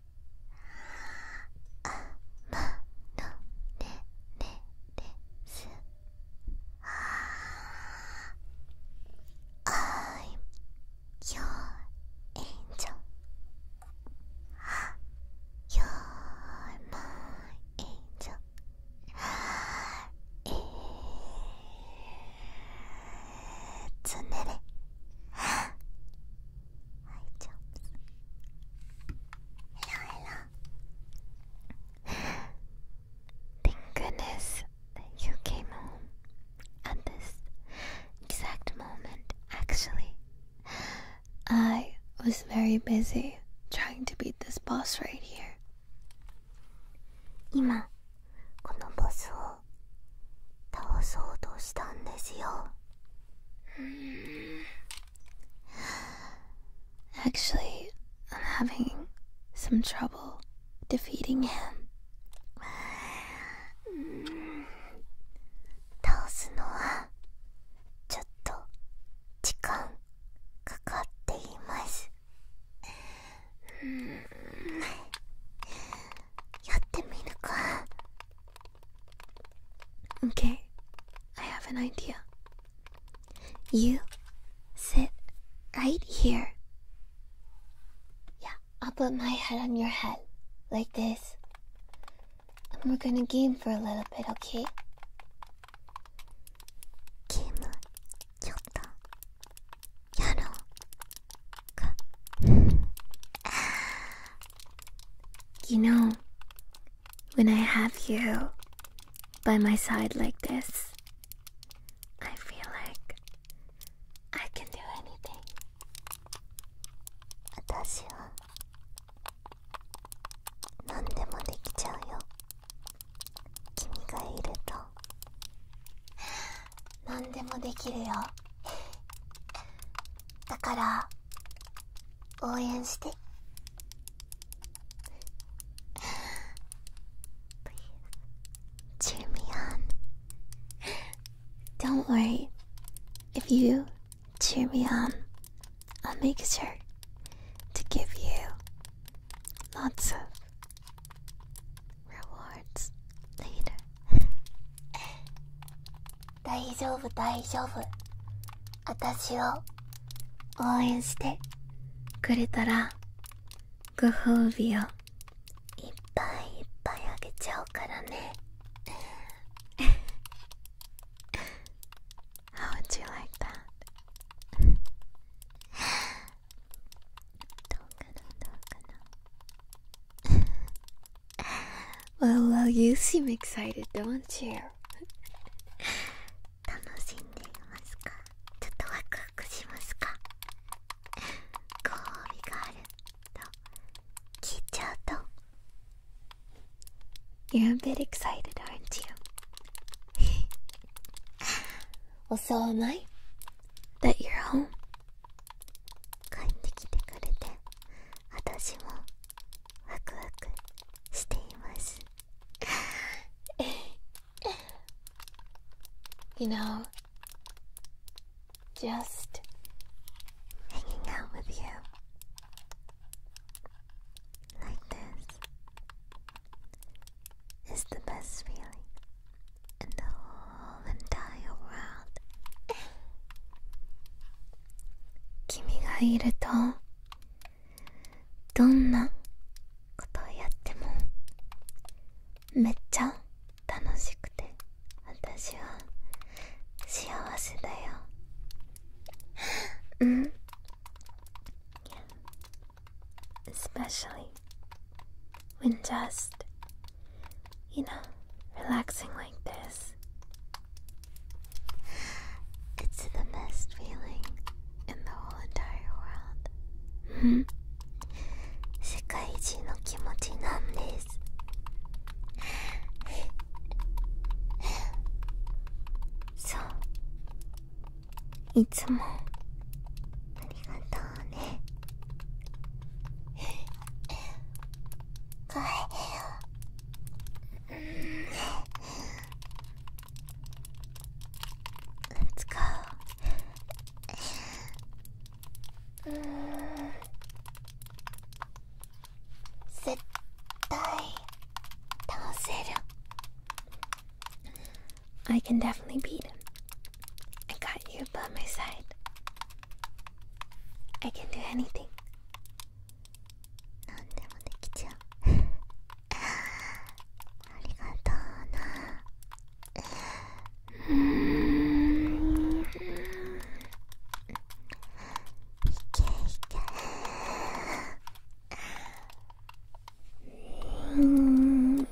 まのれれです」「I'm your angel」「You're my angel」「goodness you came home at this exact moment, actually. I was very busy trying to beat this boss right here. 今このボスを倒そうとしたんですよ Actually, I'm having some trouble defeating him. 倒すのはちょっと時間かかっていますやってみるか Okay, I have an idea. You sit right here. Yeah, I'll put my head on your head, like this. And we're gonna game for a little bit, okay? Game, か You know, when I have you by my side like this, I feel like I can do anything. 私は何でもできちゃうよ。君がいると何でもできるよだから応援してチ e e r me on Don't worry if you cheer me on I'll make sure to give you lots of r e w a 大丈夫大丈夫。私を応援してくれたらご褒美をいっぱいいっぱいあげちゃうからね。How w o どうかなどうかな well, well, you seem excited, don't you? 楽しんでいますかちょっとワクワクしますかご褒美があると聞いちゃうと You're a bit excited, aren't you? well, so am I that you're home. 帰ってきてくれて私もワクワクしています You know, just hanging out with you like this is the best feeling. in the whole entire world 君がいるとどんなことをやってもめっちゃ楽しくて私は幸せだようん especially when just You know, relaxing like this. It's the best feeling in the whole entire world. Hmm? 世界一の気持ちなんですそういつもありがとうね Let's go. うん絶対倒せる I can definitely beat him. I got you by my side. I can do anything 何でもできちゃうありがとうなうんいけいけうんい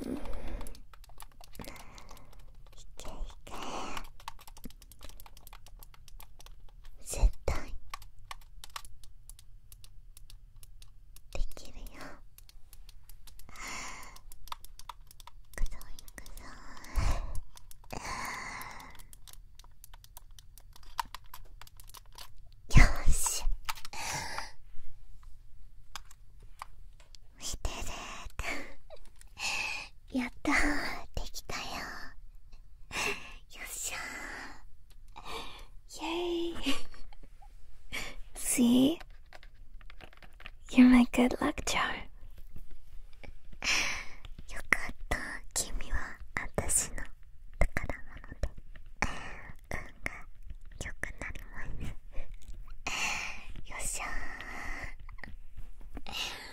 けいけ絶対できるよくぞいくぞ。よ し見てる やったできたよよっしゃーイェーい。See? You're my good l よかった君は私の宝物で運が良くなりますよっしゃー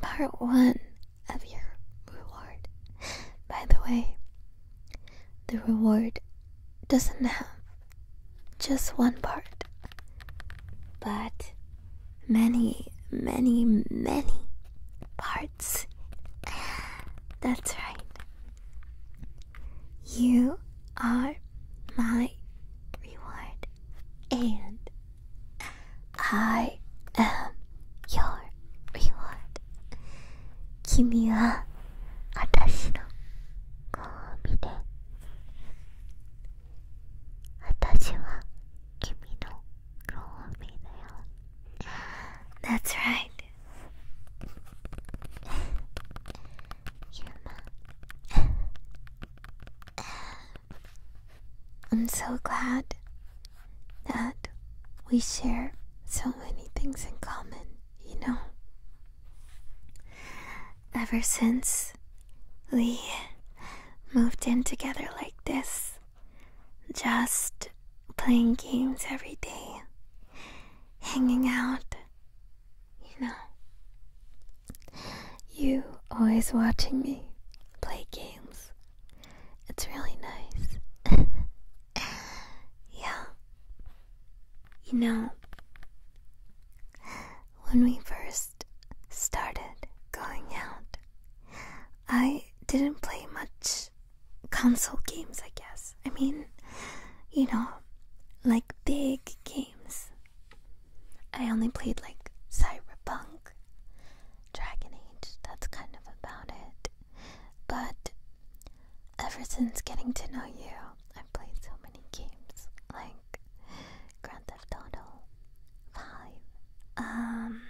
part one of your reward. By the way, the reward doesn't have just one part, but many, many, many parts. That's right. You are my reward, and I am your reward. 君は私のご褒美で、私は君の that's right. I'm so glad that we share so many things in common, you know? Ever since we moved in together like this, just playing games every day, hanging out, you know. You always watching me play games. It's really nice. yeah. You know, when we first started going out, I didn't play much console games, I guess. I mean, you know, like big games. I only played like Cyberpunk, Dragon Age, that's kind of about it. But ever since getting to know you, I've played so many games. Like, Grand Theft Auto 5. Um,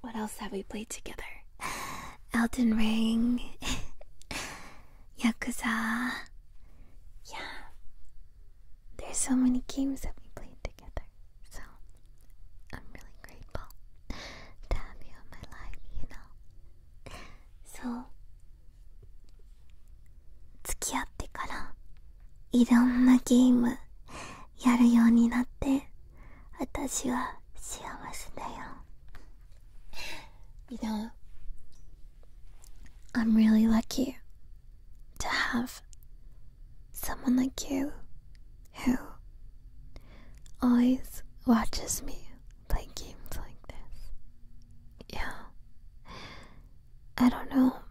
what else have we played together? Elden Ring, Yakuza. Yeah. There's so many games that we played together. So I'm really grateful to have you in my life, you know. So 付き合ってからいろんなゲームやるようになって私は幸せだよ You know I'm really lucky to have someone like you who always watches me play games like this. Yeah. I don't know.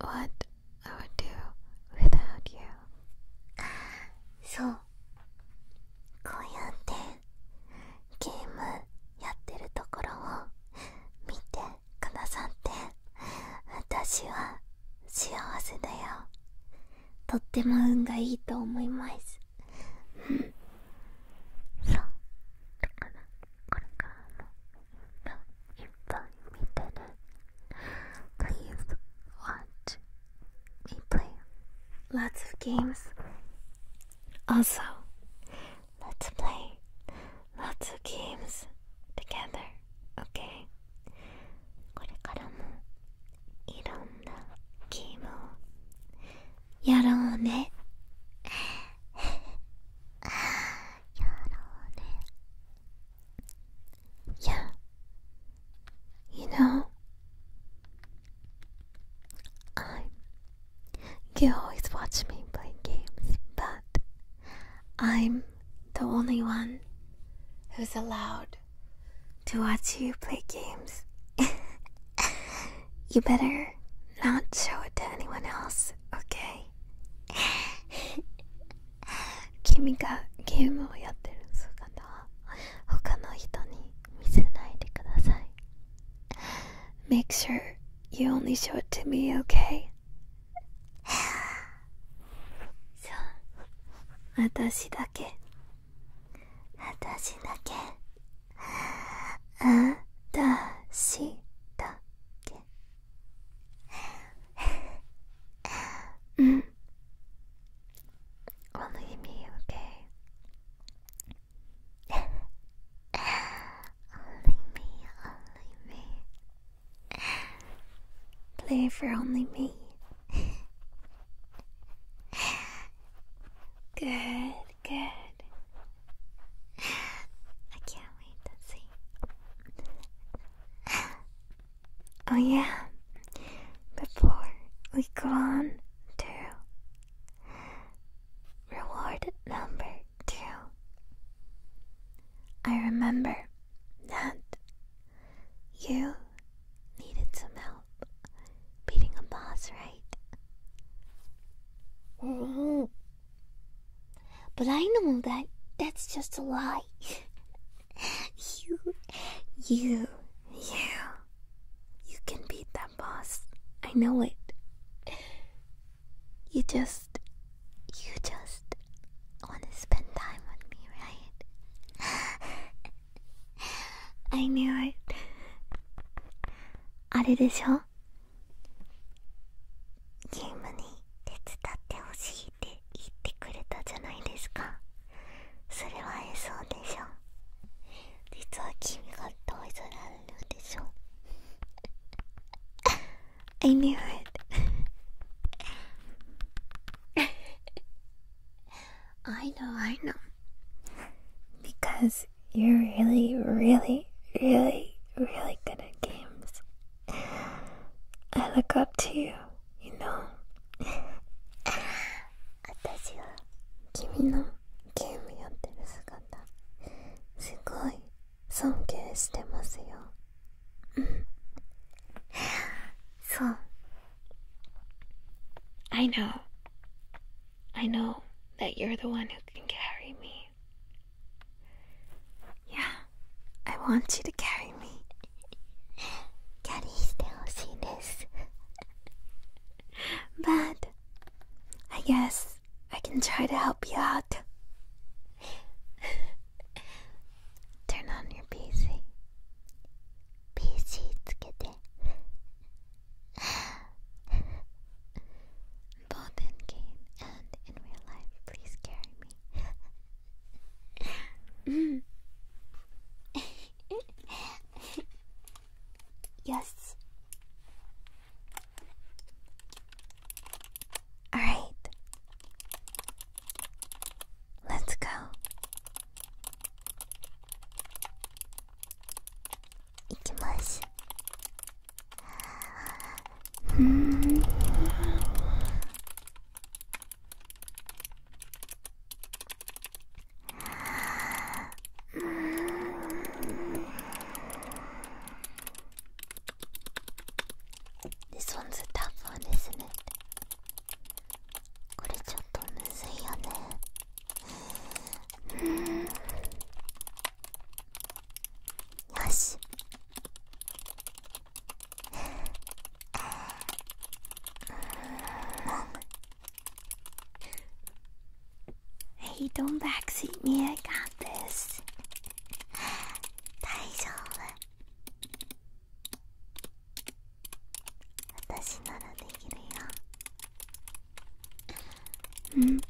what I would do without you そうこうやってゲームやってるところを見てくださって私は幸せだよとっても運がいいと思いますそうだからこれからも you find me dinner, please watch me play lots of games. Also, let's play lots of games together, okay? これからもいろんなゲームをやろうね。やろうね。Yeah. You know, I. Um, you always watch me play games, but I'm the only one who's allowed to watch you play games. you better not show it to anyone else, okay? 君がゲームをやってる姿は他の人に見せないでください Make sure you only show it to me, okay? そう私だけ私だけあたしだけ Only me, okay? only me, only me. Play for only me. good, good. I can't wait to see. Oh, yeah. Before we go on to reward number two, I remember that you needed some help beating a boss, right? Mm-hmm. But I know that that's just a lie. you, you, you, you can beat that boss. I know it. You just, you just want to spend time with me, right? I knew it. あれでしょゲームに手伝ってほしいって言ってくれたじゃないですかそれはえそうでしょ実は君がトイズラルでしょ I knew it I know I know because you're really really really really good at games I look up to you, you know. 私は君のゲームやってる姿すごい尊敬してますよ。そう。I know. I know that you're the one who can carry me. Yeah, I want you to carry me. still see this? But I guess I can try to help you out. Turn on your PC. PC and in real life, please carry me. Mm. yes. All right. Let's go. Ikimasu. Mm. This one's a tough one, isn't it? これちょっとむずいよねよし Hey, don't backseat me, I got this. 大丈夫私ならできるようん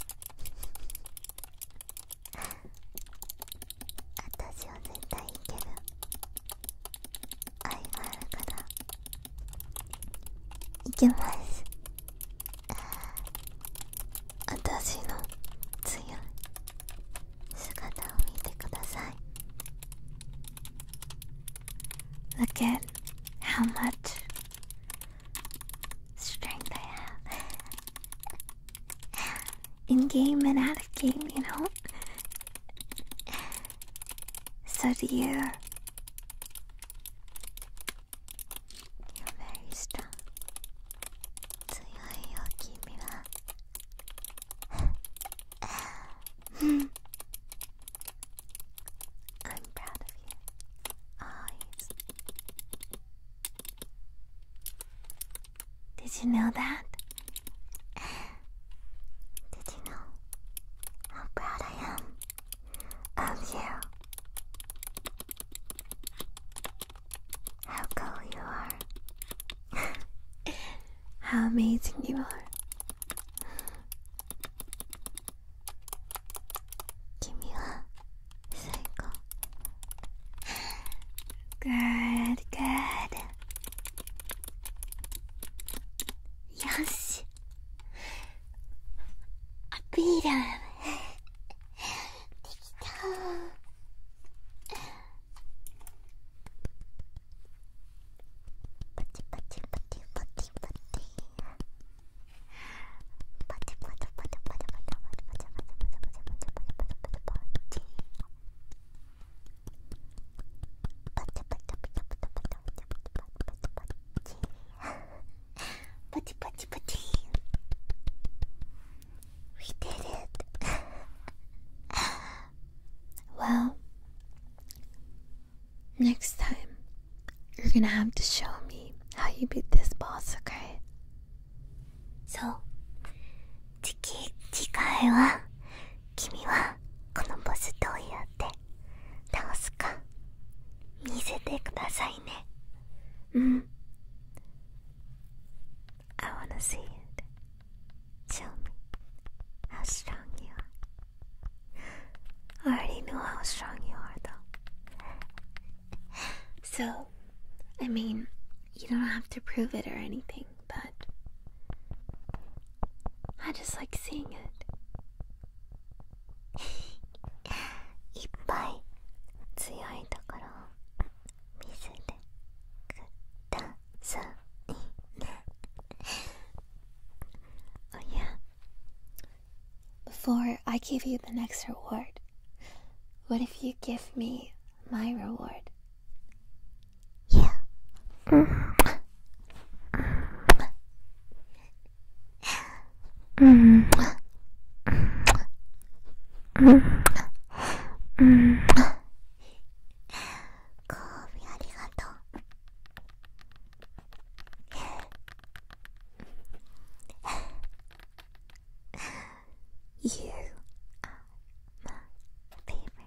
私は絶対いけるあがあるからいけます私の強い姿を見てください Look at how much strength I have in game and out of game, you know? So do you. You're very strong. 強いよ君は。I'm proud of you. Always. Did you know that? Did you know how proud I am of you? How cool you are. how amazing you are. Good, good. よしアピールできたパチパチパチパチパチパチパ Putty, putty, putty. We did it. well, next time you're gonna have to show me how you beat this boss, okay? So, 次次回は君はこのボスどうやって倒すか見せてくださいねうん I wanna see it Show me how strong you are I already know how strong you are though So I mean you don't have to prove it or anything, but I just like seeing it. いっぱい強いところを見せてくださいね。oh yeah. Before I give you the next reward, what if you give me my reward? Yeah. Mm. Mm. Mm. Mm. ご褒美ありがとう。You are my favorite.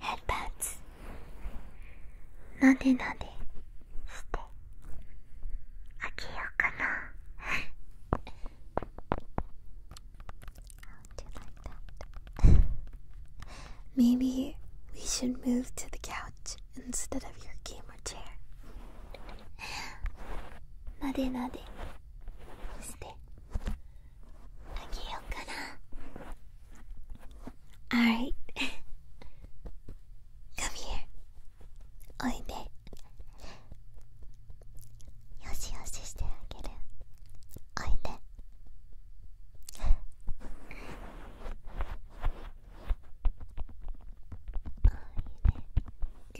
head pats なでなでしてあげようかな do you like Maybe we should move to the couch instead of your gamer chair. Nade nade. Stay. あげようかな Alright Come here おいでよしよししてあげるおいでお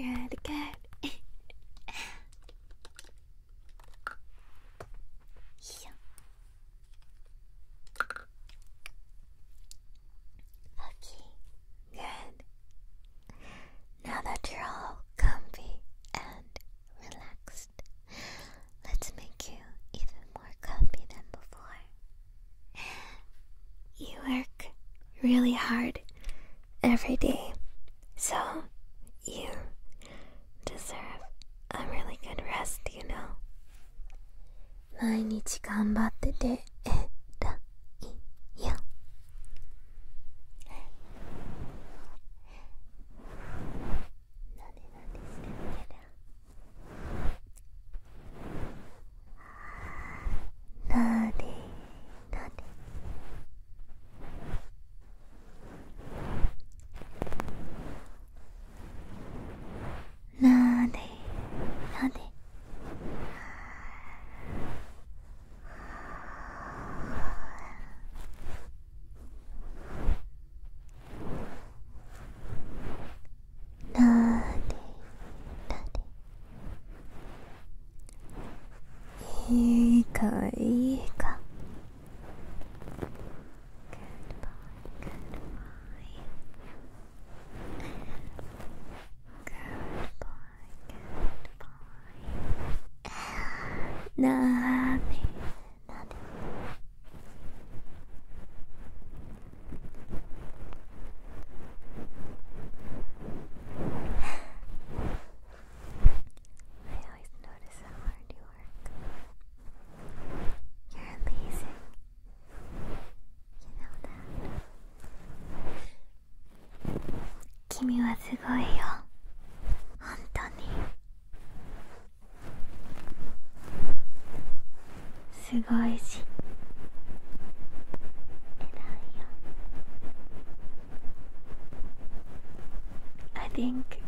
いで Good, g o Okay, good. Now that you're all comfy and relaxed, let's make you even more comfy than before. You work really hard every day. So, you deserve a really good rest, you know. 毎日頑張ってて、えらいよ。なんでなんですかなでなでなでなでなでなでいいかいいか。Goodbye, goodbye. Goodbye, goodbye. Nothing, nothing. I always notice how hard you work. You're amazing. You know that. 君はすごいよ。本当に。すごいし。偉いよ。I think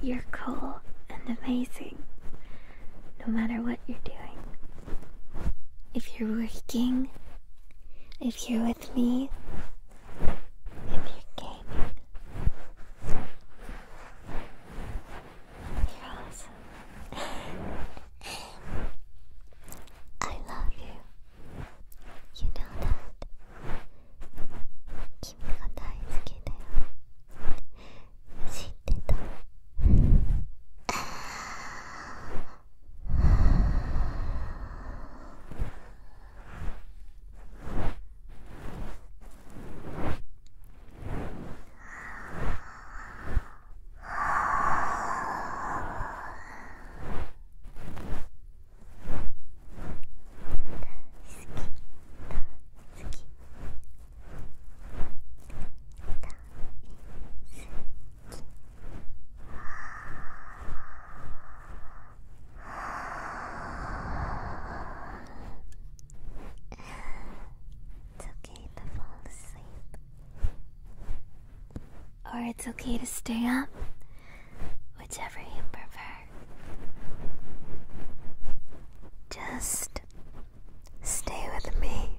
you're cool and amazing no matter what you're doing. If you're working, if you're with me, if you're gaming, you're awesome. I love you. You know that. 君が大好きだよ知ってたあ It's okay to fall asleep. Or it's okay to stay up whichever you prefer. Just stay with me,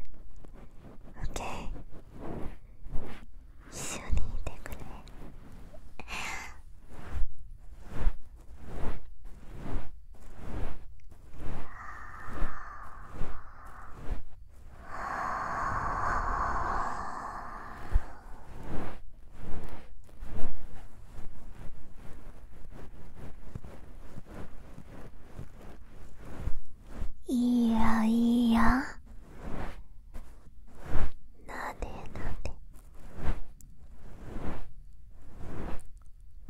okay? いやいやなでなで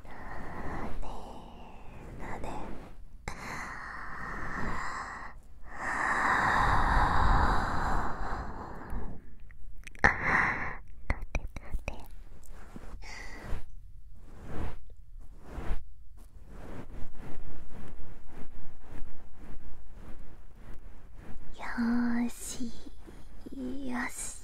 なでなでよしよし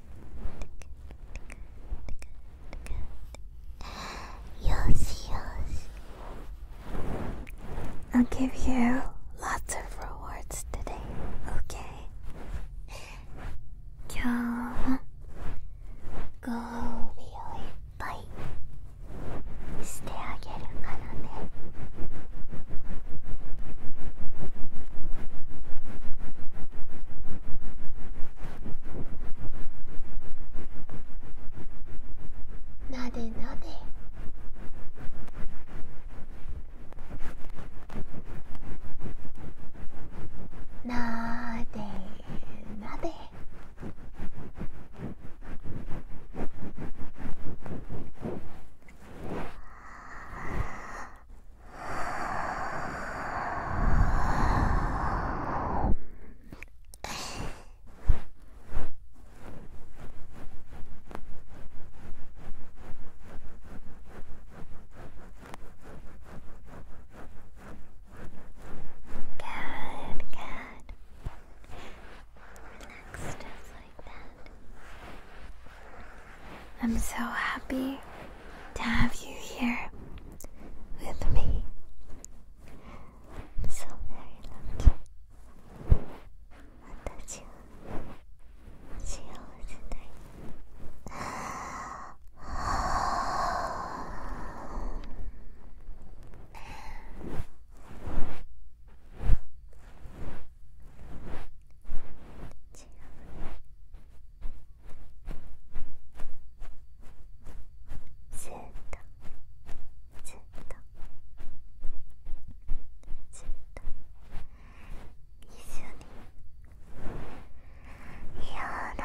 Yo -si, I'll give you lots of rewards today, okay? Come, go, real, bye. してあげるからねなでなでなでなで Good, good. Relax just like that. I'm so happy to have you here with me. so very lucky. Watashi wa shiyouzu ずっとずっとずっと一緒にやだ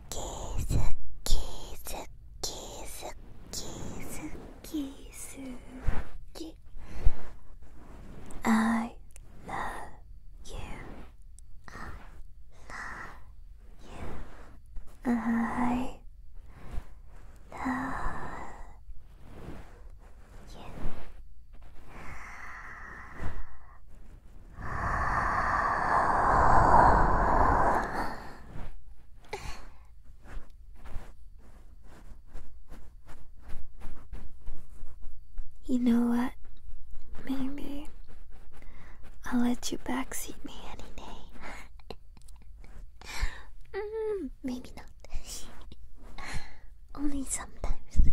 キスキスキスキスキスキ I love you I love you I love you you know what? Maybe I'll let you backseat me any day. Mm-hmm. maybe not. Only sometimes.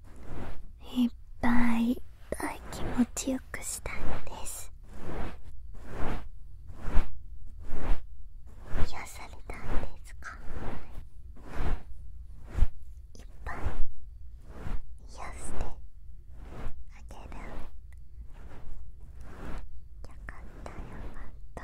いっぱいいっぱい気持ちよくしたいです癒されたんですかいっぱい癒してあげるよかったよかった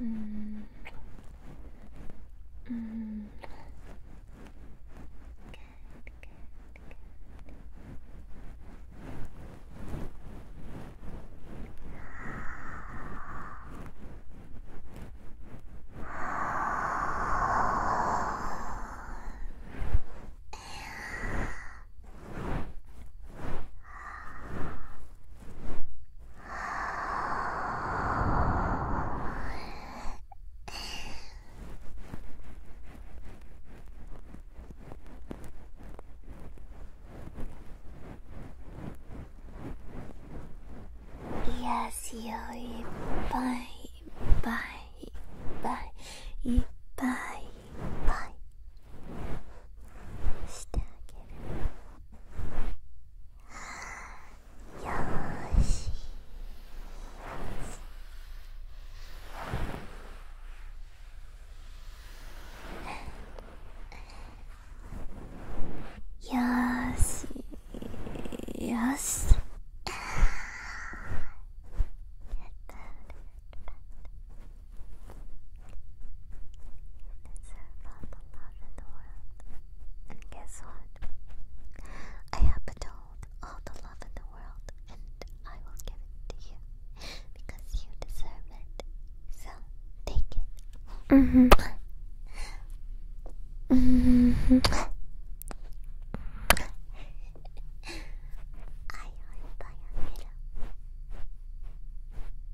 Mm. Mm. Good, good, good. Good. 癒しをいっぱいいっぱいいっぱいいっぱいぱいしてあげるよしよしよし can serve all the love in the world. And guess what? I have told all the love in the world, and I will give it to you because you deserve it. So take it. Mm -hmm. Mm -hmm. I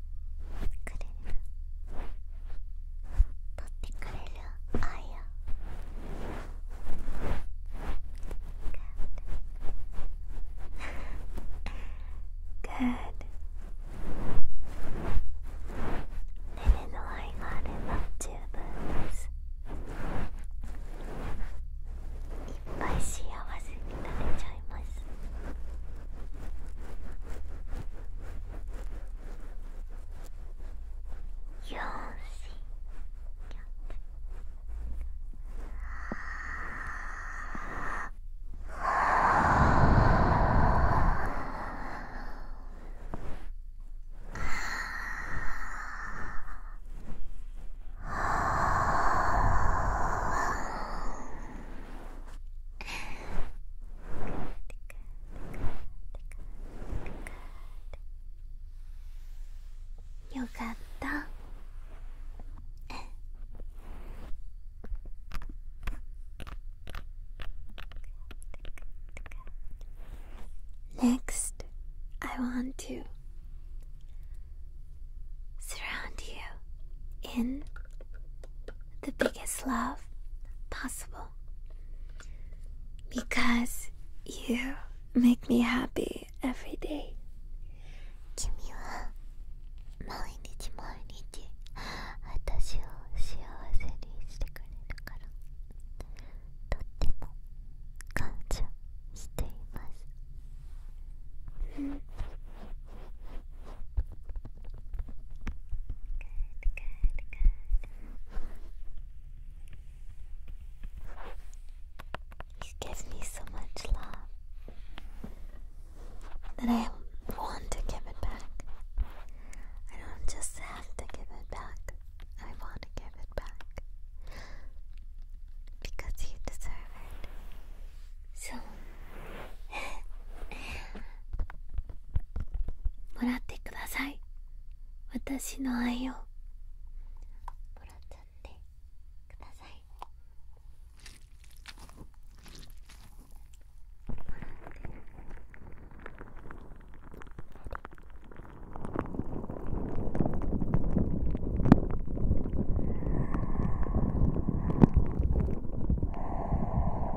くれる取ってくれる愛をグッドレね。の愛があれば十分ですいっぱい幸せになれちゃいますよしよよかった。Next, I want to surround you in the biggest love possible because you make me happy every day. 君は毎日毎日私を幸せにしてくれるからとっても感謝しています。good, good. You give me so much love that I want to give it back. I don't just have to give it back, I want to give it back because you deserve it so もらってください私の愛をもらっちゃってくださいもらって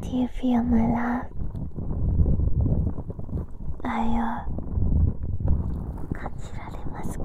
Do you feel my love? 愛を感じられますか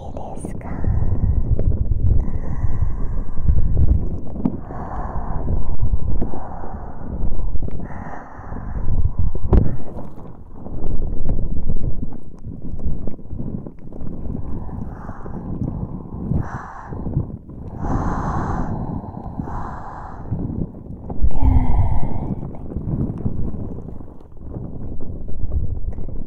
いですか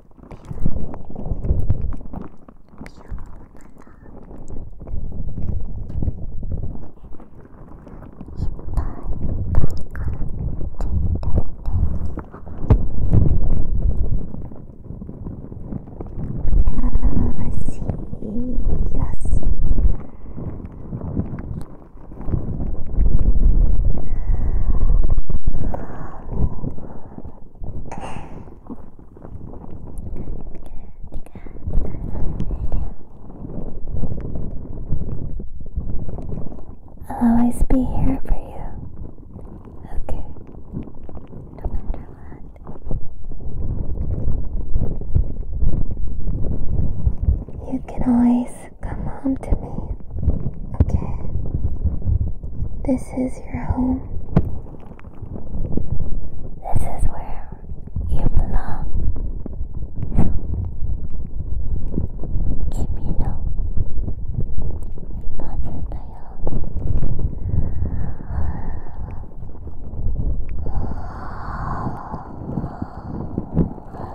いいよし。I'll always be here for you. Okay. No matter what. You can always come home to me. Okay? This is your home. This is where you belong. So, Kimi no Imazu yo.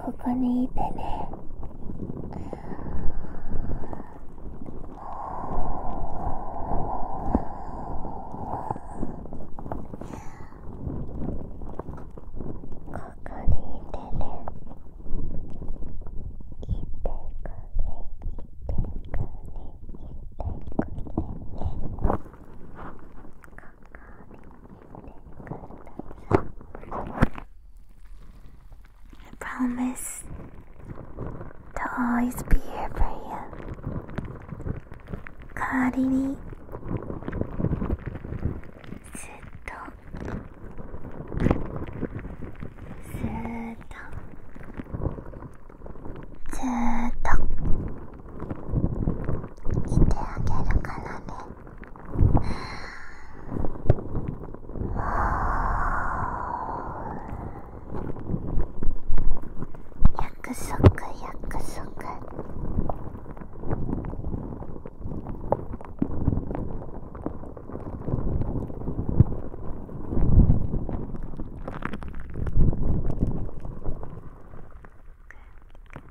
ここにいてねここにいてねいてくれいてくれいてくれねここに I promise to always be here for you. 代わりにずっとずっとずっといてあげるからね。約束約束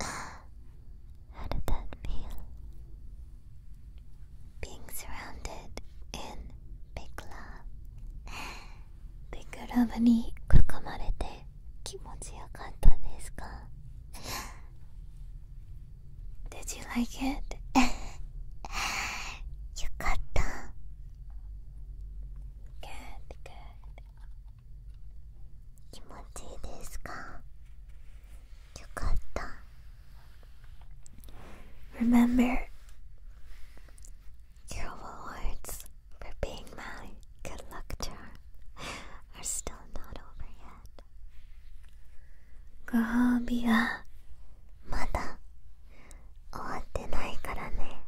How did that feel? Being surrounded in big love. Big love に囲まれて気持ちよかったですか Did you like it? よかった。Good, good. 気持ちいいですかよかった Remember your awards for being my good luck charm are still not over yet ご褒美はまだ終わってないからね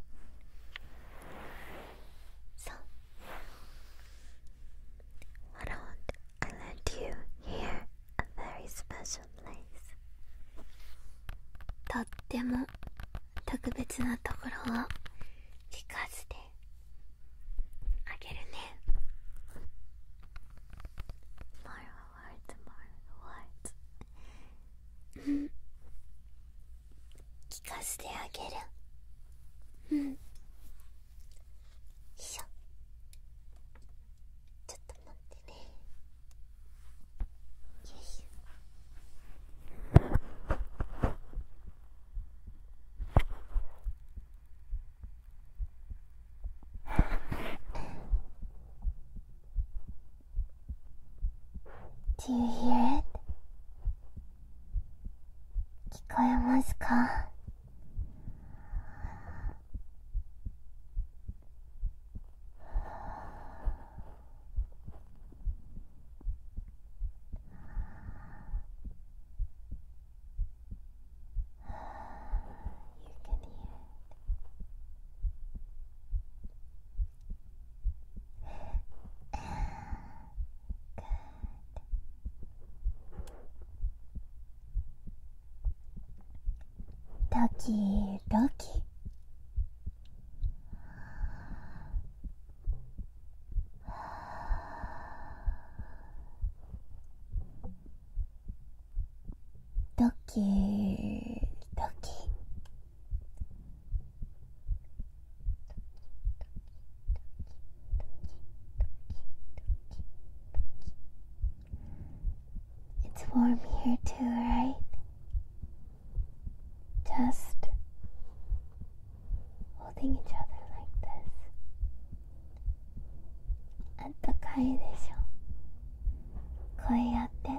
そう Hold on, I lent you here a very special place. とっても特別なところを聞かせてあげるね。Tomorrow, tomorrow, what? 聞かせてあげるんよいしょちょっと待ってねよいしょ Do you hear it? 聞こえますかドキドキドキドキ It's warm here too, right? Just holding each other like this. 아따카이 되죠? 거의 어때?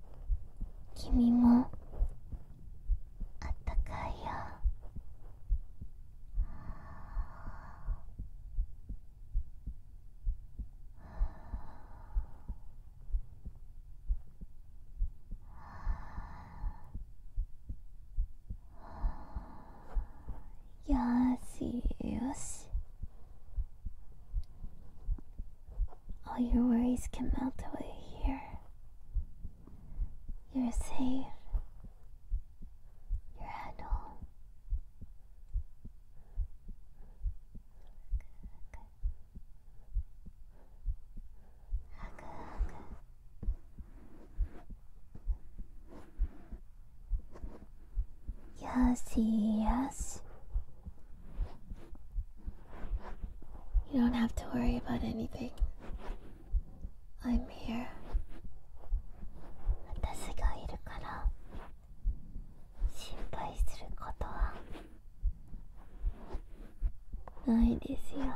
君もあったかいよよしよし All your worries can melt away here. You're safe. You're at home. Yes, yes. You don't have to worry about anything. I'm here. 私がいるから心配することはないですよ。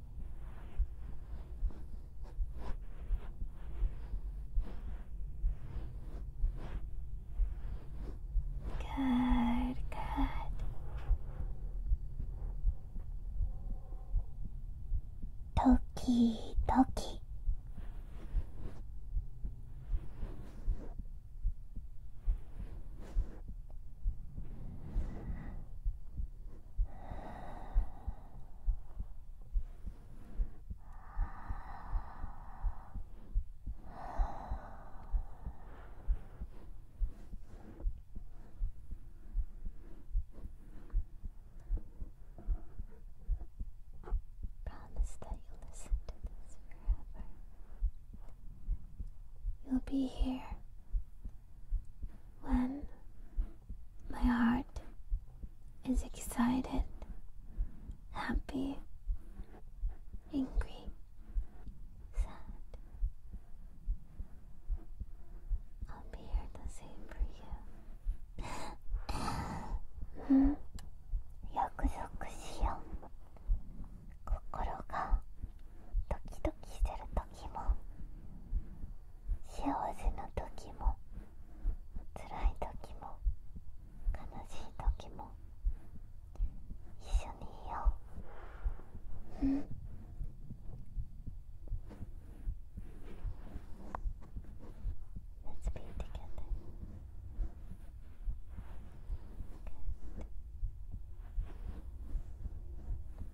Good, good. Toki, toki. Promise that you'll listen to this forever. You'll be here when my heart is excited, happy, angry, sad. I'll be here the same for you. mm-hmm. 約束しよう心がドキドキしてる時も幸せな時も辛い時も悲しい時も一緒にいよううん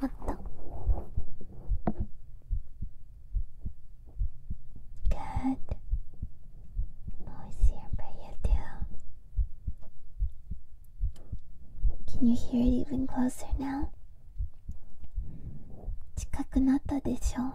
もっとグッドノイズやバイアディオ Can you hear it even closer now? 近くなったでしょ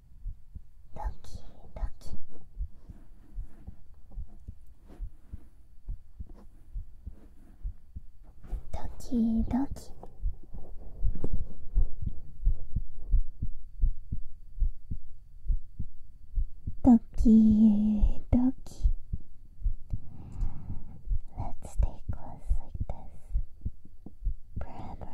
ドキドキドキドキドキドキ Let's stay close like this forever, I love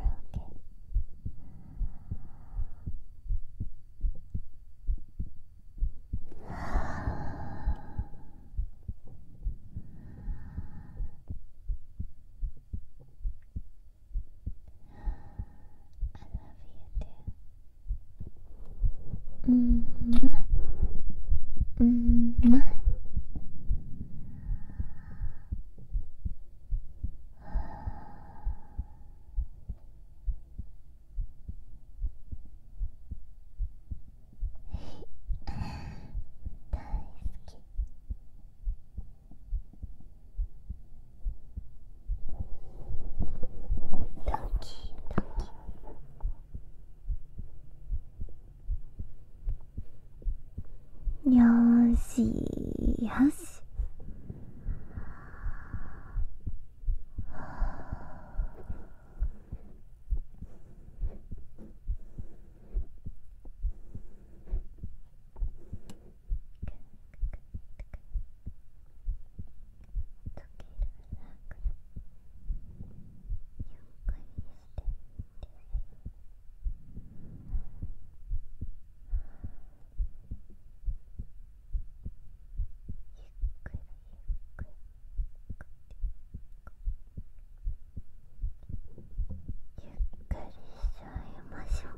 you too. -hmm. -hmm. 大好き。ドキドキ。よしよしゆっくりゆっくりゆっくりしちゃいましょう。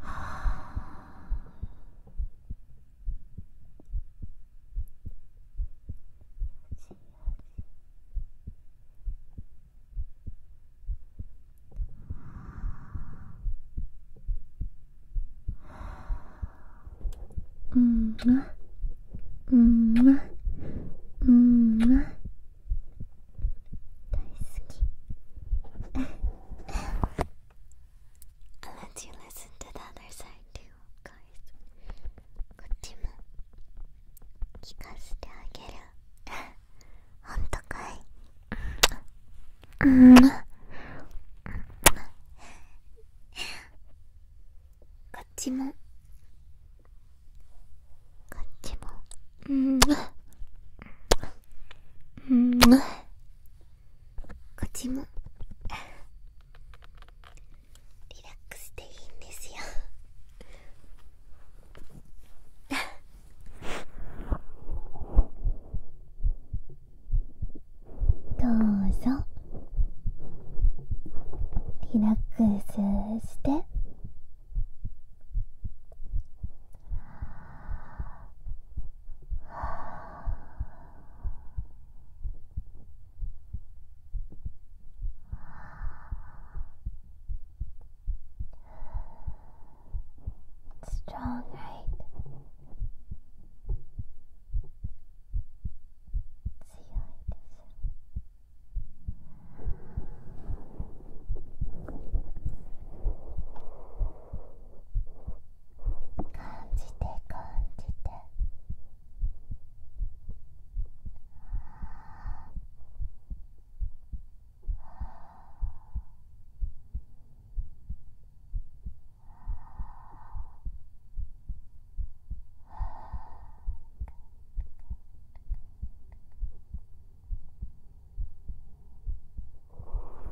はあ。幸せ Mm-hmm. Mm-hmm. Mm-hmm. 大好き i you listen to the other side too こっちも聞かせてあげるほんとかいうんこっちもこっちもうんうんこっちも リラックスしていいんですよどうぞリラックスして Strong, right? See 感じて感じて。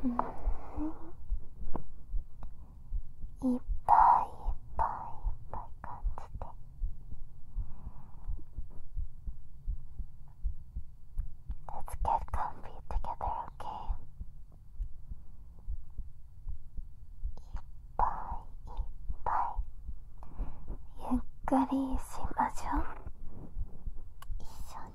いっぱいいっぱいいっぱい感じて Let's get comfy together, okay? いっぱいいっぱいゆっくりしましょう一緒に。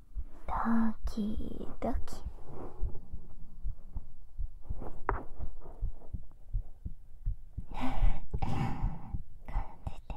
ドキドキ感じて感じて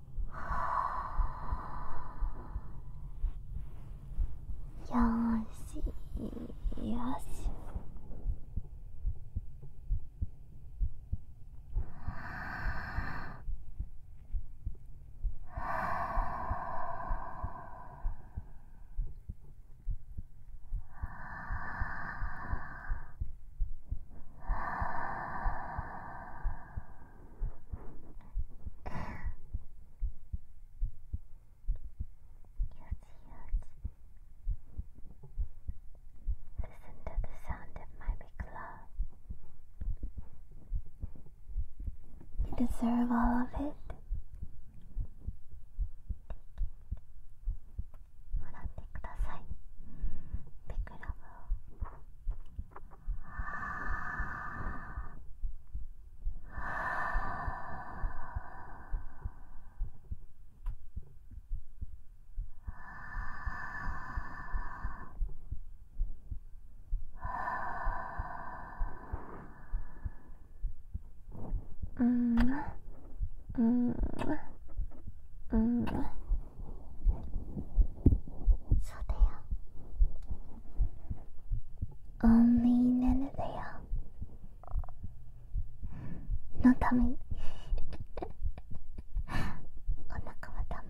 よしよしよ Listen to the sound of my big love. You deserve all of it. Take it. うんうんうんそうだよ only Nenadea のためにお腹はため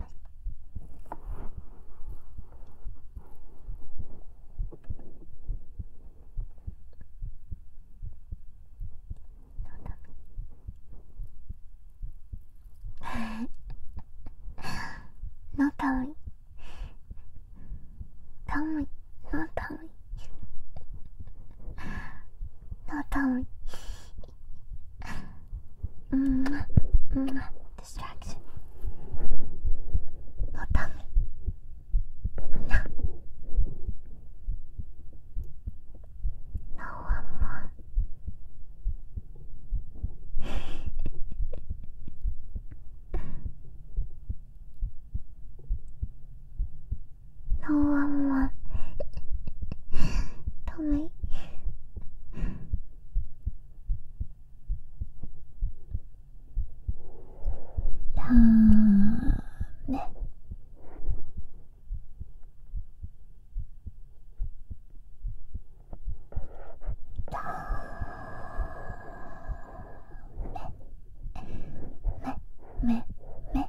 のため no time. Time, no time. No time. Mm, mm, distraction. No time. No. No one more. No one more. Tommy. ラーメンめめめめ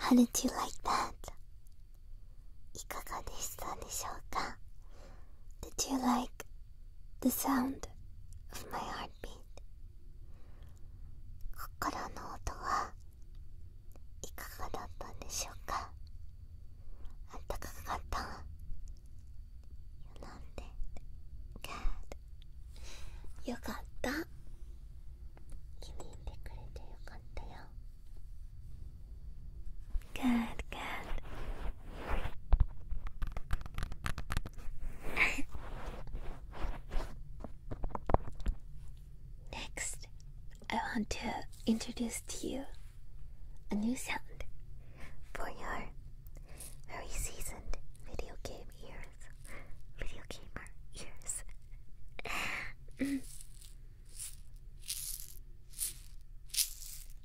How did you like that? いかがでしたでしょうか Did you like the sound of my heartbeat 心の音はいかがだったんでしょうかあったかかったなんて Good よかった気に入ってくれてよかったよ Good, good Next, I want to introduce to you a new sound for your very seasoned video game ears. Video gamer ears. Mm.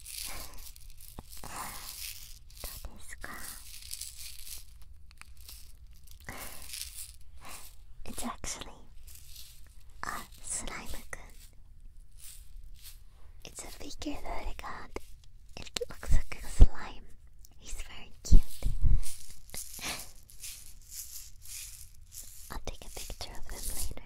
It's actually a slime-kun. It's a figure that I got. It looks like a slime. He's very cute. I'll take a picture of him later.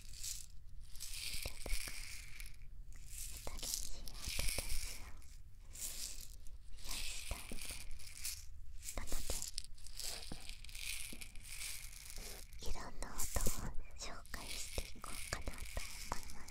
新しい音ででで。すす。よ。癒したいいなのろんな音を紹介していこうかなと思います。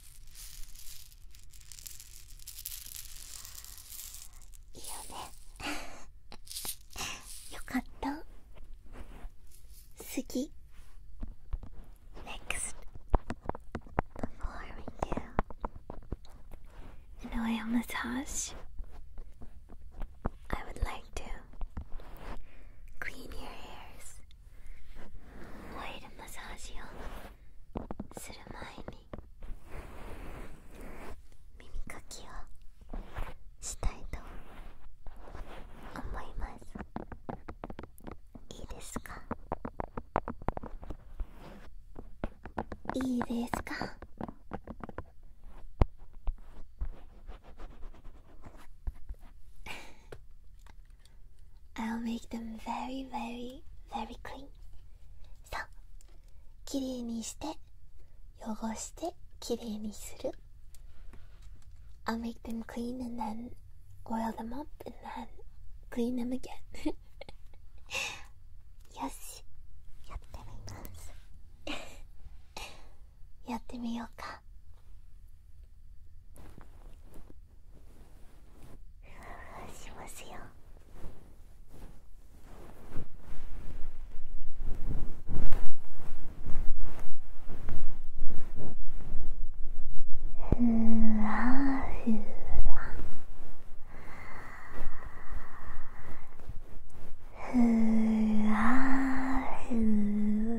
いいよねよかった好き Next before we do an oil massage I would like to clean your hairs オイルマッサージをする前に耳かきをしたいと思いますいいですかいいですか I'll make them very, very, very clean. そう。きれいにして、汚して、きれいにする。I'll make them clean and then oil them up and then clean them again. よし。やってみます。やってみようか。しますよふわふわふわふわ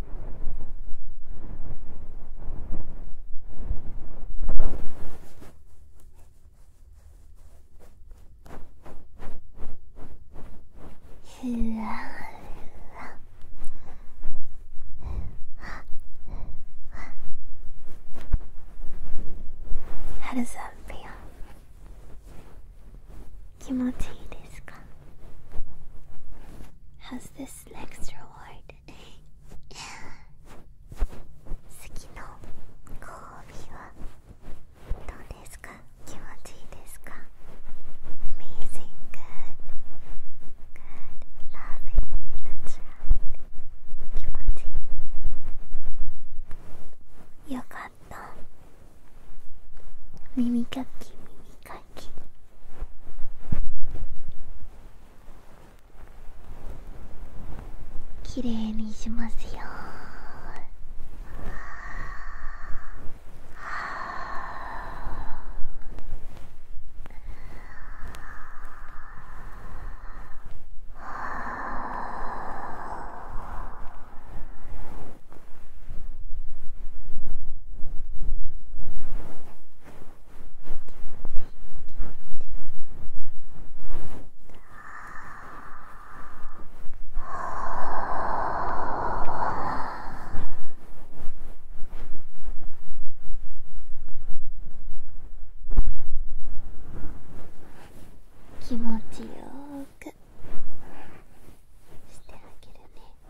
ふわふわハルさんペア気持ちいいですか How's this this next reward 次のご褒美はどうですか気持ちいいですか Amazing, good, good, loving, that's right 気持ちいいよかった耳かき耳かききれいにしますよ気持ちよくしてあげるね。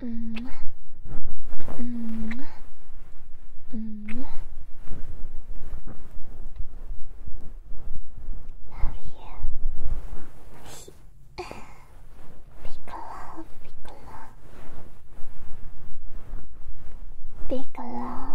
うんうんうん Love you. Big love, big love. Big love.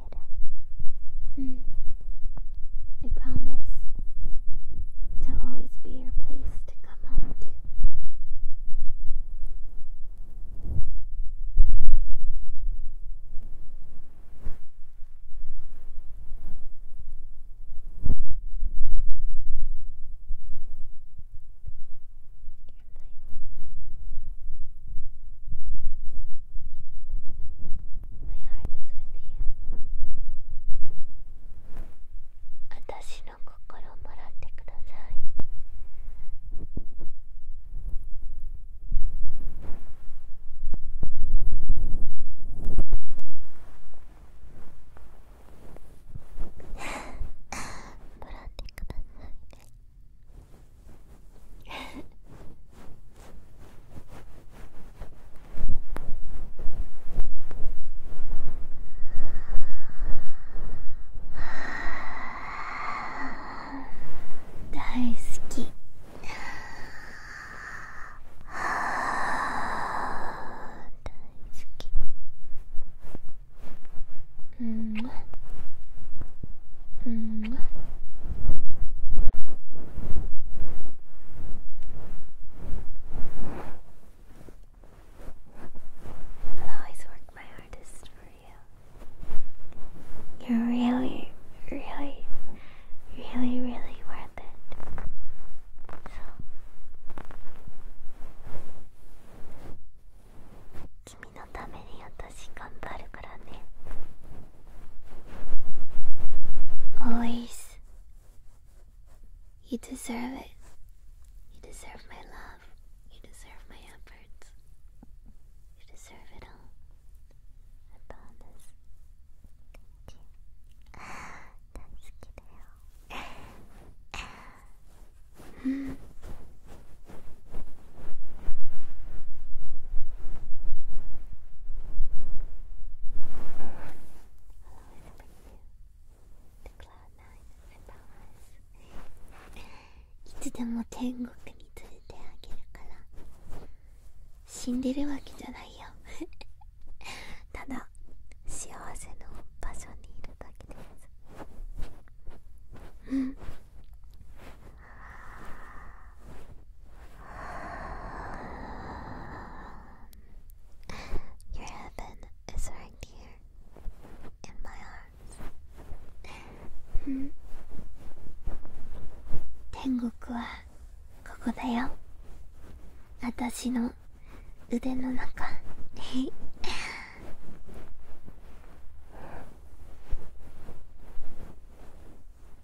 get hmm. I promise to always be your place to come home to. 私の心をもらってください 大好き。大好き。うん。うん。I'll always work my hardest for you. You're really, really, really, really worth it. So. 君のために私頑張るからね。Always. You deserve it. You deserve my love. You deserve my efforts. You deserve it all. I promise. Thank いつでも天国に連れてあげるから死んでるわけじゃないよ ただ幸せの場所にいるだけですうん Your heaven is right here in my arms. 天国はここだよ。私の腕の中。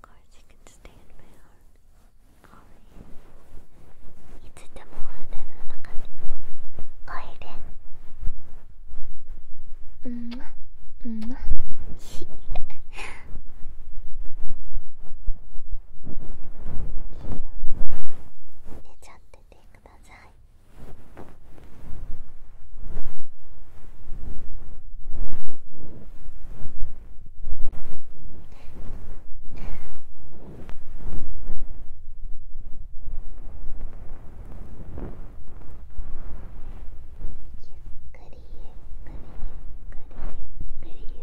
course, you can stay in my arms. Call me. いつでも腕の中においで。うんまうんま。寝ちゃっててください。ゆっくりゆっくりゆっくりゆっくりゆ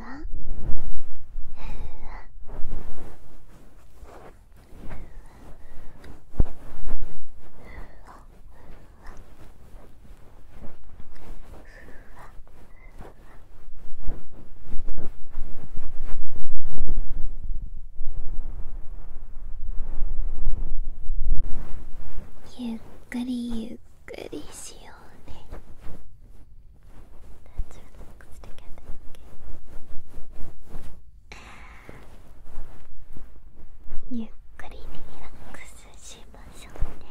わゆっくりゆっくりしようね。ゆっくりリラックスしましょうね。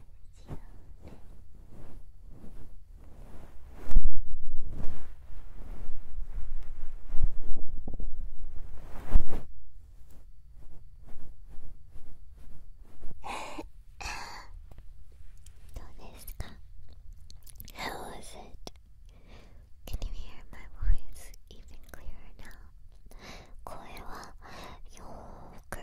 どうですか How was it? Can you hear my voice even clearer now? 声はよーく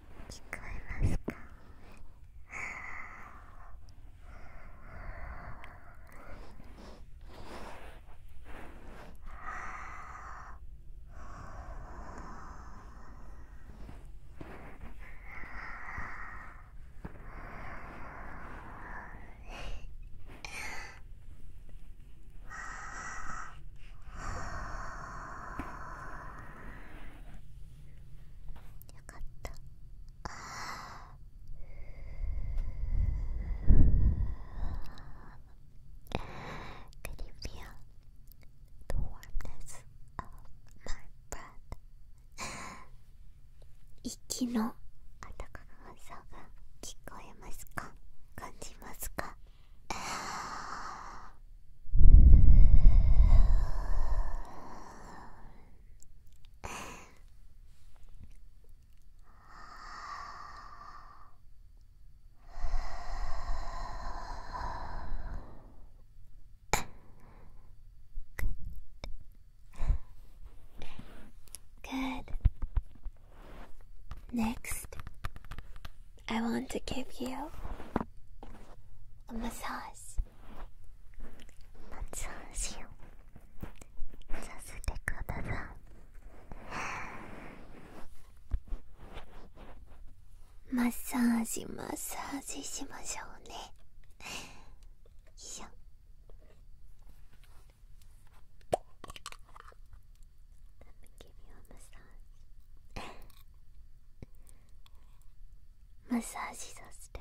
聞こえますかあ よかったあ Could you feel the warmness of my breath? 息の温かさが聞こえますか感じますかよ Good. Next, I want to give you a massage. マッサージをさせてくださいマッサージマッサージしましょうねよいしょマッサージさせて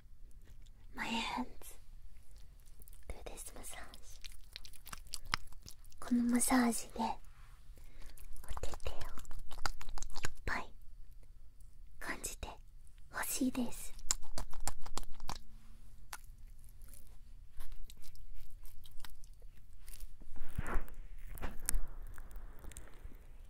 マ y ハンズ、d s do t サージ。このマッサージでおててをいっぱい感じてほしいです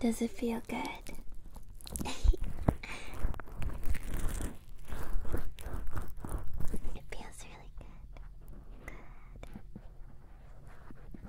Does it feel good? It feels really Good.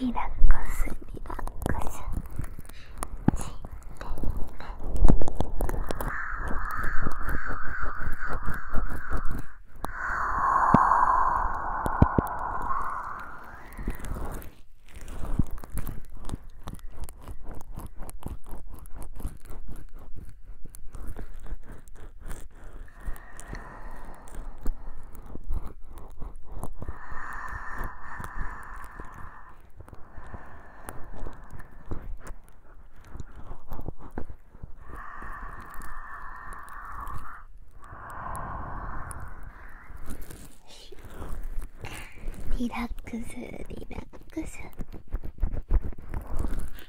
リラックスリラックスしてねリラックスリラックス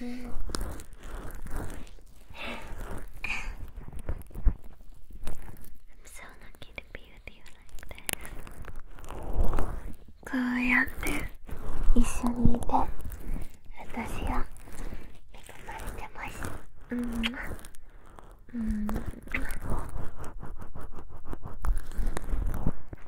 うん I'm so lucky to be with you like this こうやって一緒にいて私は恵まれてますうんうん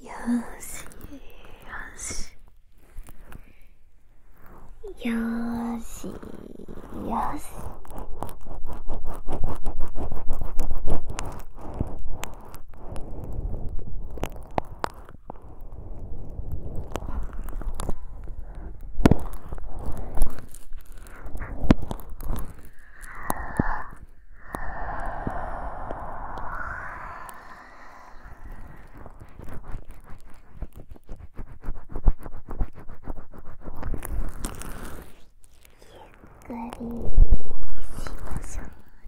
よしよしよしよしゆっくりしましょう。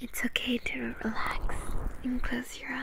It's okay to relax and close your eyes.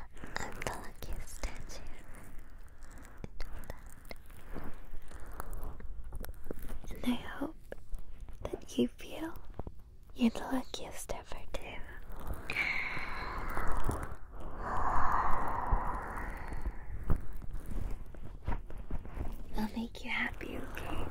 I'm the luckiest statue. And I hope that you feel you're the luckiest ever too. I'll make you happy, okay?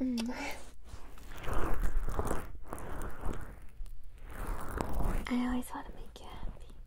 I always want to make you happy.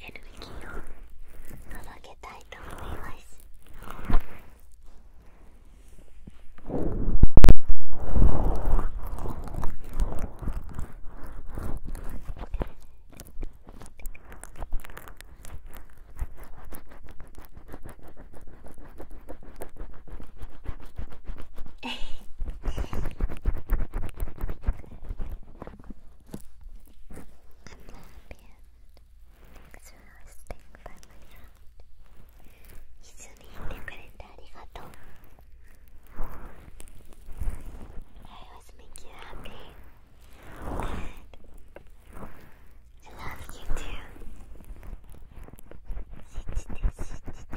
エネルギーを届けたいと思います。exhausting by my sound 一緒にいてくれてありがとう I always make you happy good I love you too 信じて信じて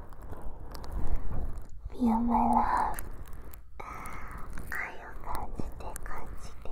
みやまら愛を感じて感じて感じて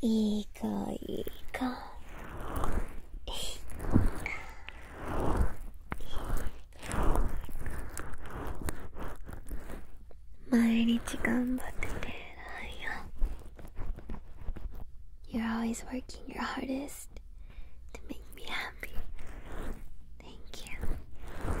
いいかいいかいいか毎日頑張ってて偉いよ You're always working your hardest to make me happy Thank you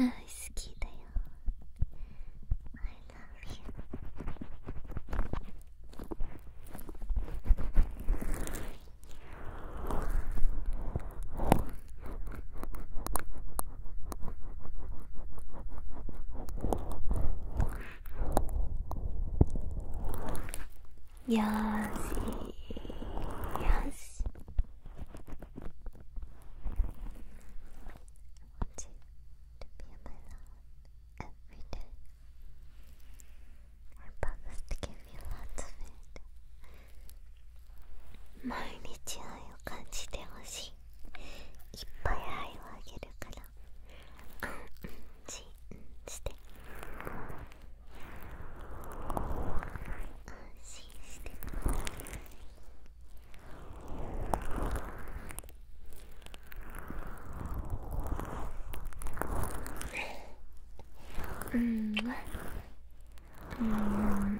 愛してる大好きだよ I love you あよしよし毎日愛を感じてほしいいっぱい愛をあげるからあうんちんして安心してうんうん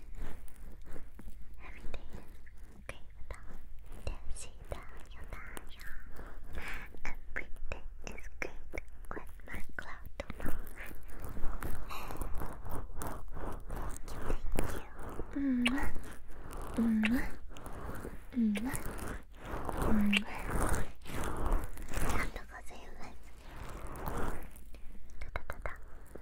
Everything is great without Dancing down your dial Everything is great with my cloud tomorrow Thank you, thank you ありがとうございます。たたたた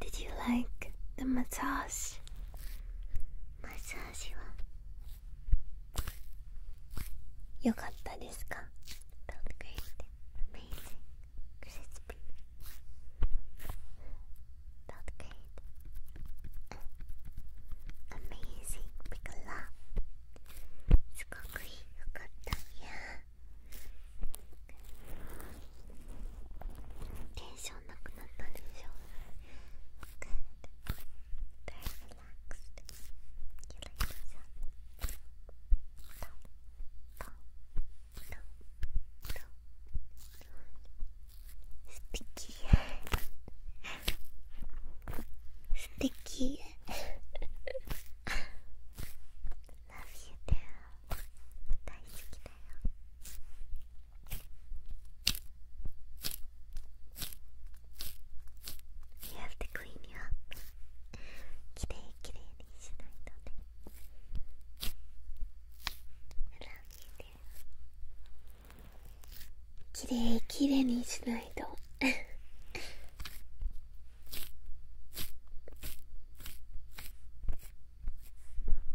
Did you like the massage? マッサージは良かったですか Felt great, amazing, crispy. Felt great, amazing, big love. すごく良かった。いや。テンションなくなったでしょ Good Very relaxed You like this? No No No No Sticky Sticky Love you, dear 大好きだよヘアステクイーンにはきれいきれいにしないとね裏見てきれいきれいにしないと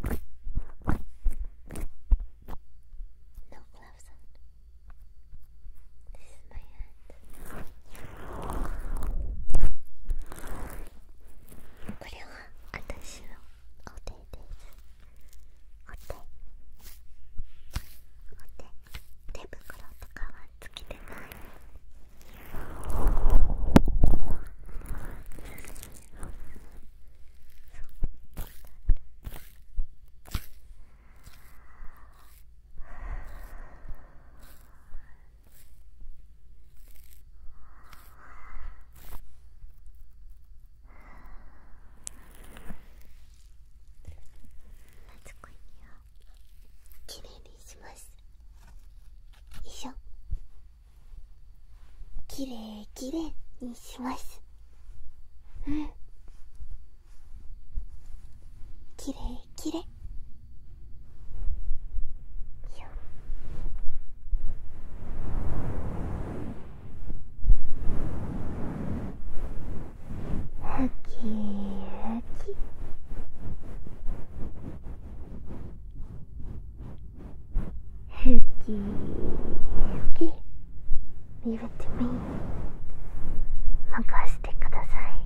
No glove sound. This is my hand. これは私のお手です。お手。お手。手袋とかはつけてない。つこいにはきれいにします。きれいきれいにしますうんきれいきれいはきはき Hookie, hookie, leave it to me. 任せてください。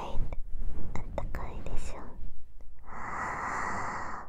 いあったかいでしょあ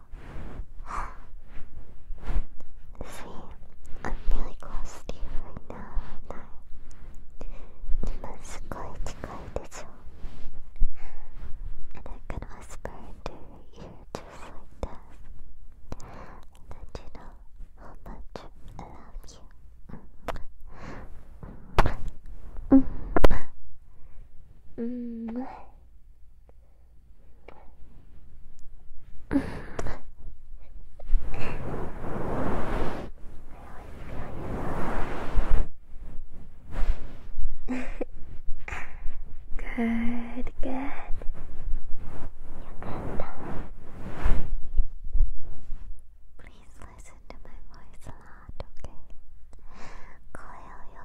See, I'm really close to you right now, aren't I? 今すごい近いでしょ And I can whisper into your ear just like that let you know how much I love you -hmm good, good. Please listen to my voice a lot, okay? Coil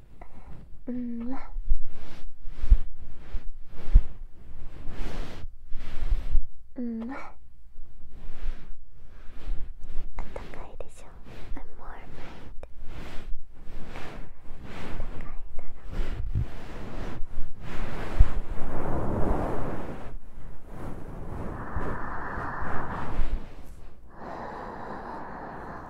うんうんあったかいでしょ I'm warm right 暖かいだろう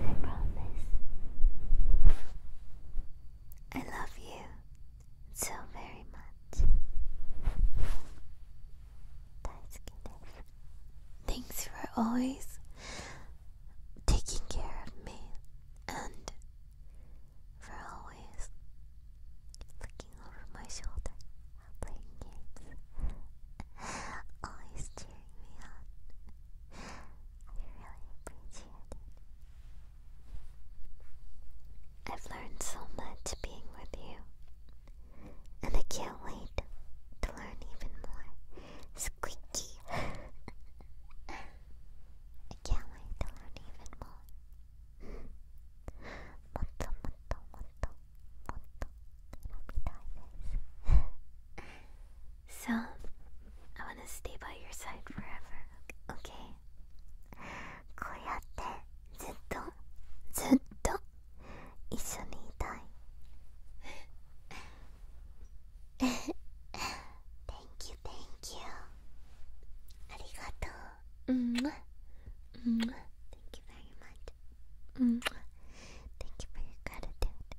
I promise. I love you so very much. Thanks for always taking care of me and for always looking over my shoulder while playing games. always cheering me on really appreciate it. I've learned so much being with you, and I can't wait to learn even more. Squeaky! I can't wait to learn even more. Motto, motto, motto, motto. It'll be diverse. So, I wanna stay by your side forever. Okay? こうやってずっとずっと一緒にいたい。thank you, thank you. ありがとう。うん。うん。Thank you very much. うん。Thank you for your gratitude.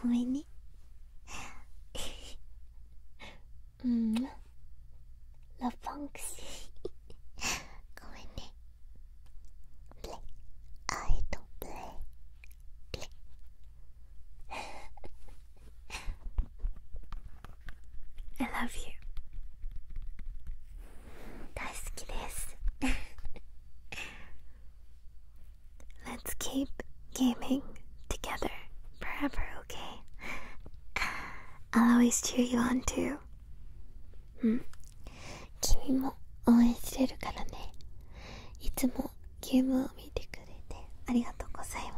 ごめんね うんラパンクシ ごめんねプレイアイドプレイ I love you 大好きです Let's keep gaming together forever, okay? I'll always cheer you on too. うん。君も応援してるからね。いつもゲームを見てくれてありがとうございます。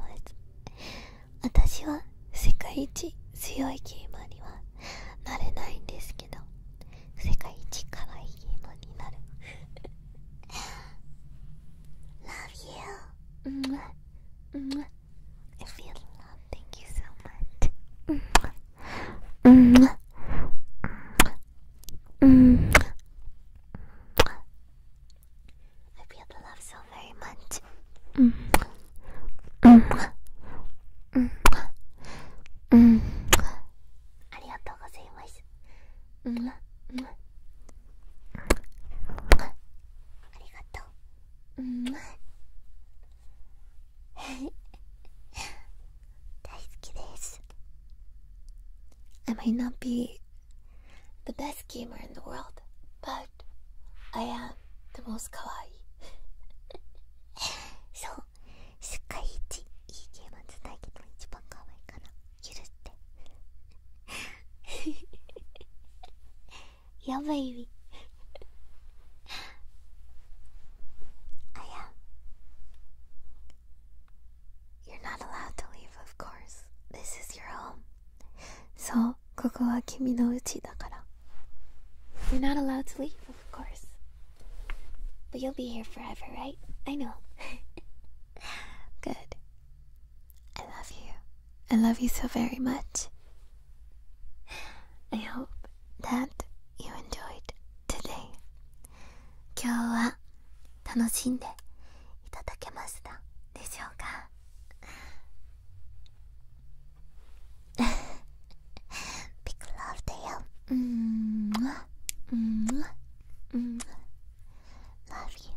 私は世界一強いゲームにはなれないんですけど、世界一可愛いゲームになる。Love you. I feel love. Thank you so much. I feel love so very much. Mm. Mm. ありがとううん大好きです I might not be the best gamer in the world but I am the most かわい so う世界一いいゲームつないけど一番かわいいかな。許して Yeah baby I am You're not allowed to leave of course This is your home そう、ここは君の家だから You're not allowed to leave of course But you'll be here forever, right? I know Good I love you. I love you so very much. I hope that you enjoyed today. 今日は楽しんでいただけましたでしょうか Big love to you. Mm -hmm. Mm -hmm. Mm -hmm. Love you.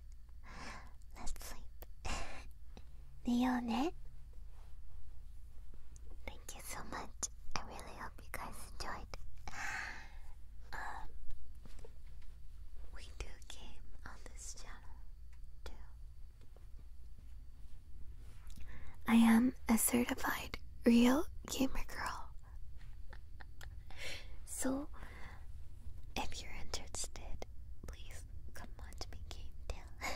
Let's sleep. 寝ようね Thank you so much. I really hope you guys enjoyed. Um, we do game on this channel too. I am a certified real gamer girl so, if you're interested, please come on to me game tale.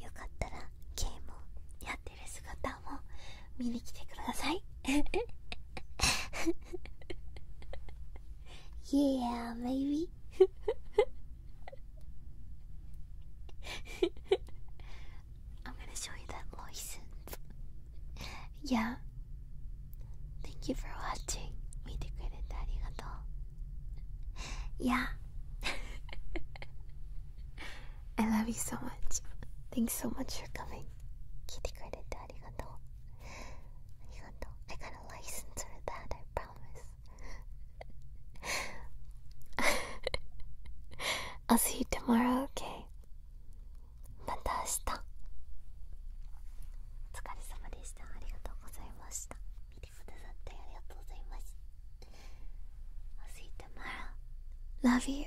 よかったらゲームをやってる姿も見に来てください。yeah, maybe. I'm gonna show you that license yeah. Thank you for watching. Meet the credit Yeah. I love you so much. Thanks so much for coming. Kitty credit I got a license for that, I promise. I'll see you tomorrow, okay? また明日お疲れ様でしたありがとうございました見てくださってありがとうございます I'll see you tomorrow Love you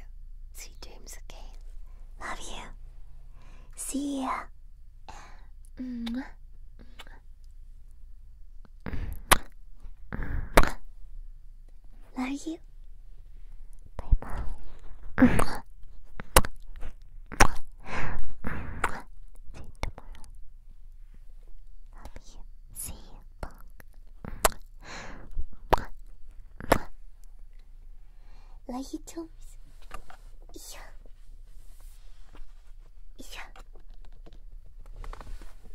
Sweet dreams again Love you See ya Love you See you. Like you told me. So. Yeah. Yeah.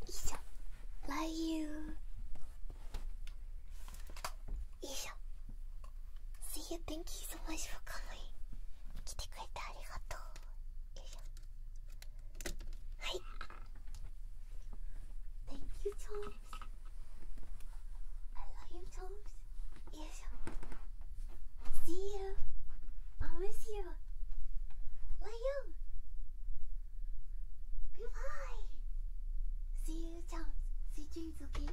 Yeah. Like you. いしょ See you, thank you so much for coming 来てくれてありがとうよいしょはい Thank you, Charles I love you, Charles よいしょ See you I miss you ライオン Goodbye! See you, Charles See you, okay?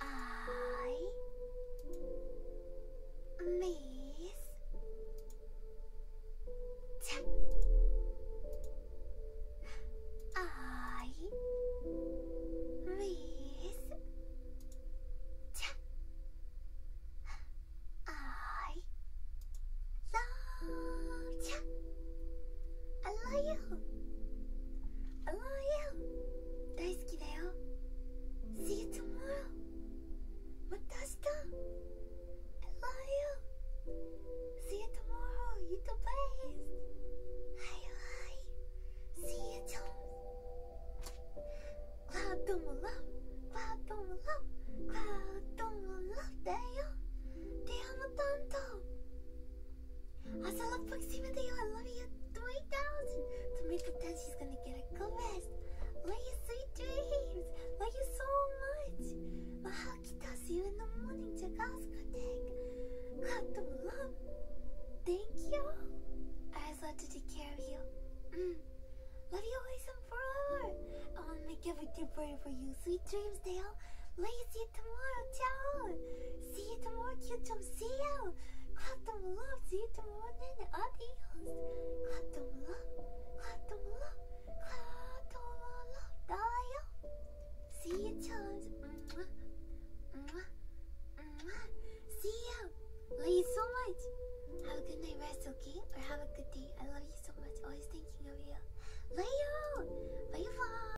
I miss Tap. I miss Tap. I love Tap. I love you I love you 大好きだよ See you tomorrow また明日 I love you See you tomorrow You the best はいはい See you John パートもラブパートもラブパートもラブだよディアの担当 Also, love Proxy Mateo, I love you 3000. To make it that she's gonna get a good rest. sweet dreams. Love you so much. Mahakita, see you in the morning. Jagaska, thank. Clap love. Thank you. I just love to take care of you. Mm. Love you always forever. I wanna make every day brighter for you. Sweet dreams, Dale. Love tomorrow, ciao. See you tomorrow, Kyuchum. See you. Clap them love. See you tomorrow, then. Adios. Clap them love. Clap them love. Clap them love. Dio. See you, chums. Mwah. Mwah. Mwah. See you. Love you so much. Have a good night, rest, okay? Or have a good day. I love you so much. Always thinking of you. Love you. Bye, bye.